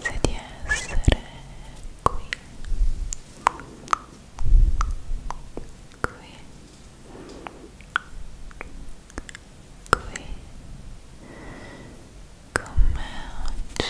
Grazie di essere qui qui qui con me oggi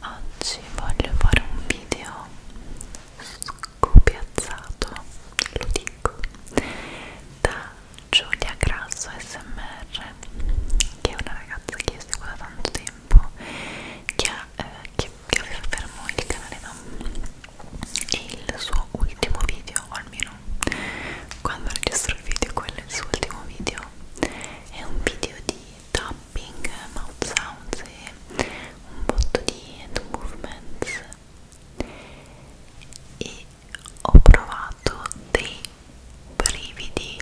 oggi voglio fare un video scopiazzato lo dico da Giulia Grasso smr che è una ragazza che io seguo da tanto tempo che, ha, eh, che, che aveva fermo il canale da un il suo ultimo video, o almeno quando registro il video, quello è il suo ultimo video. È un video di tapping, mouth sounds e un botto di hand movements. E ho provato dei brividi,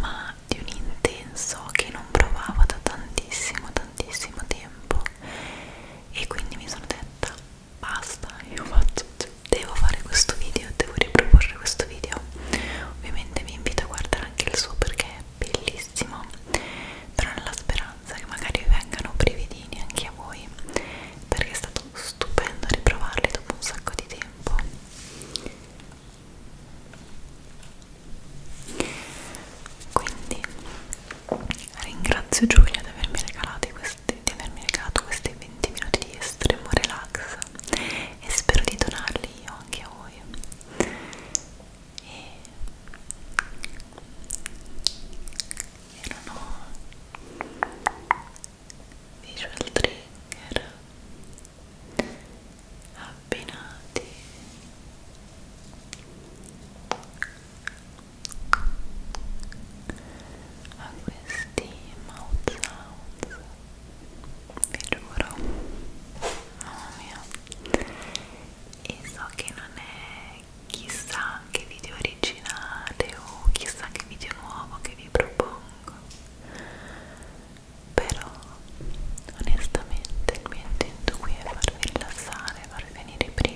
ma di un intenso che non provavo da tantissimo, tantissimo tempo e quindi mi sono detta basta, io faccio, cioè, devo fare questo video, devo riproporre questo video ovviamente vi invito a guardare anche il suo perché è bellissimo però nella speranza che magari vengano brividini anche a voi perché è stato stupendo riprovarli dopo un sacco di tempo quindi Ringrazio Giulia di avermi, questi, di avermi regalato questi 20 minuti di estremo relax e spero di donarli io anche a voi. E erano visual trigger abbinati a questi mouth sounds vi giuro mamma mia e so che non è chissà che video originale o chissà che video nuovo che vi propongo però onestamente il mio intento qui è farvi rilassare farvi venire prima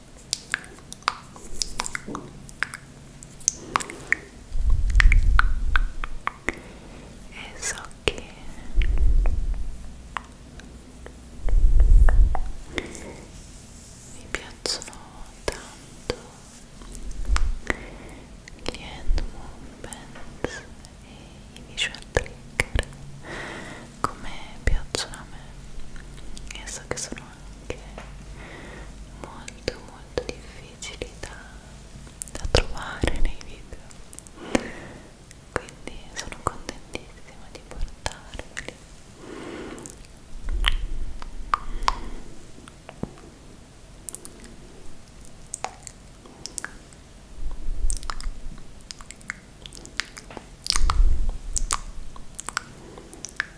e so che mi piacciono tanto gli hand movements e i visual trigger come piacciono a me e so che sono anche molto molto difficili da, da trovare nei video quindi sono contentissima di portarveli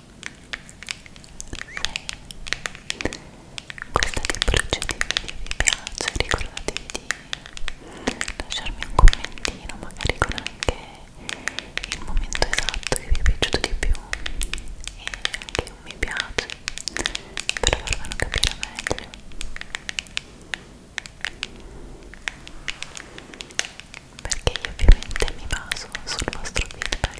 questa tipologia di video vi piace ricordatevi di lasciarmi un commentino magari con anche il momento esatto che vi è piaciuto di più e anche un mi piace per farvelo capire meglio perché io ovviamente mi baso sul vostro feedback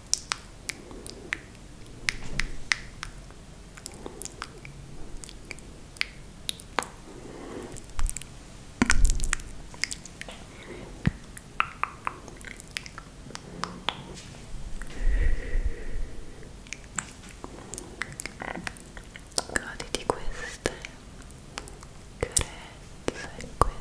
Goditi queste carezze, questi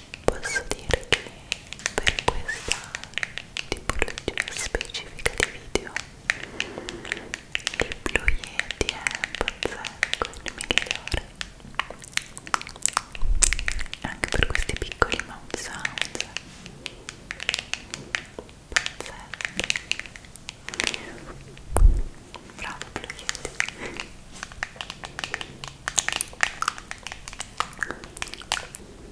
posso dire che per questa tipologia specifica di video il Blue Yeti è pazzesco, il migliore anche per questi piccoli mouth sound pazzeschi bravo Blue Yeti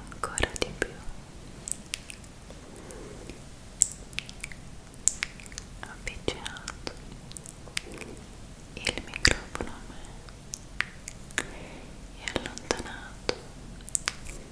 ancora di più avvicinato il microfono a me e allontanato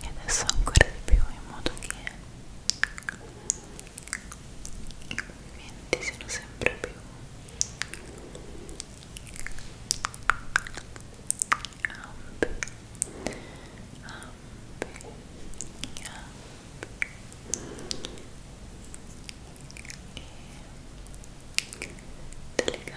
e adesso ancora di più in modo che i venti siano sempre più ampi ampi ampi e eleganti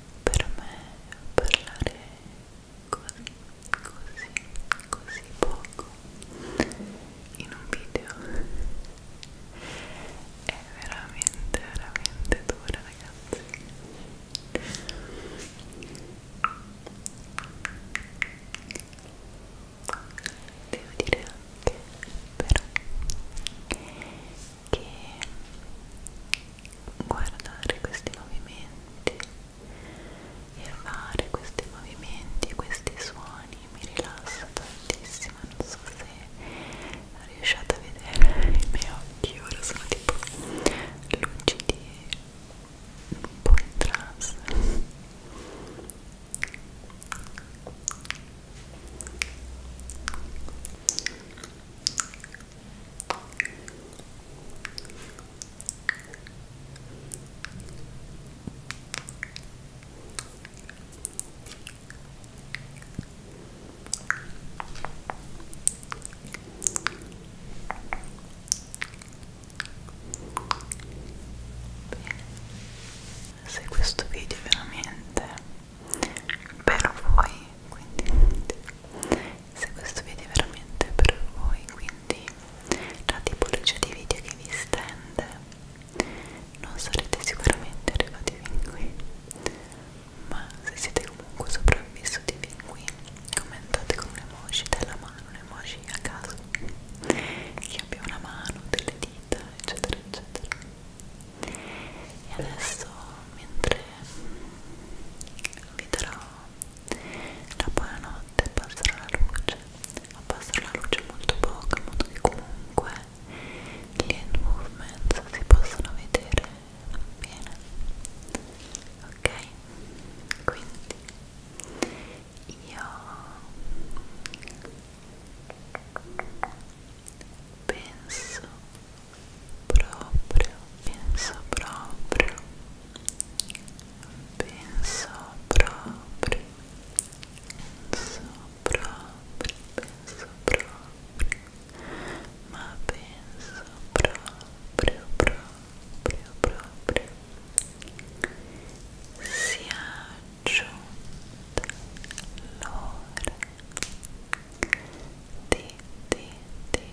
para me hablar así, así, así poco en un video es veramente, veramente dura ragazzi devo decir anche pero che guardare questi movimenti e fare questi movimenti e questi suoni mi rilassa tantissimo non so se riusciate a vedere i miei occhi ora sono tipo lucidi un po' in trance se questo video è veramente per voi quindi se questo video è veramente per voi quindi la tipologia di video che vi stende non sarete sicuramente arrivati fin qui ma se siete comunque sopravvissuti fin qui commentate con un emoji della mano un emoji a caso che abbia una mano, delle dita eccetera eccetera e adesso mentre vi darò la buonanotte abbasserò la luce abbasserò la luce molto poco in modo che comunque gli end movements si possano vedere bene ok quindi io penso proprio, penso proprio, penso proprio, penso proprio, penso proprio, ma penso proprio, proprio, proprio, sia giunta l'ora di, di, di,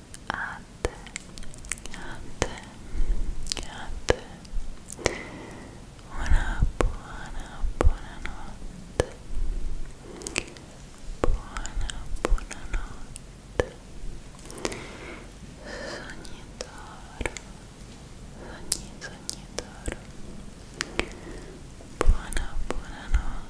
Até, até, até Una buona, buonanotte Buona, buonanotte Sognitoro, sogni, sognitoro Buona, buonanotte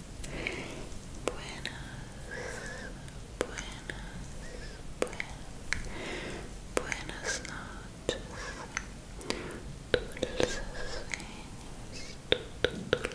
buenas, buenas noches, dulces sueños, dulces sueños, dulces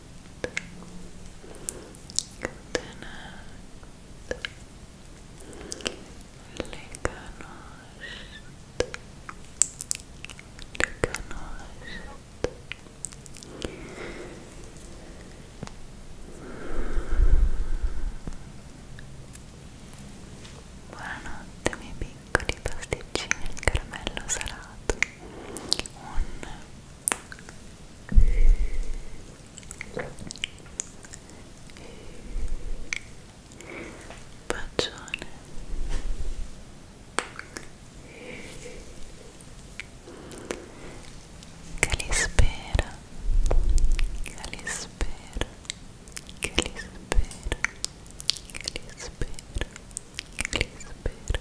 Buonanotte miei piccoli pasticcini al caramello salato un que que que Calispera Calispera que Calispera Calispera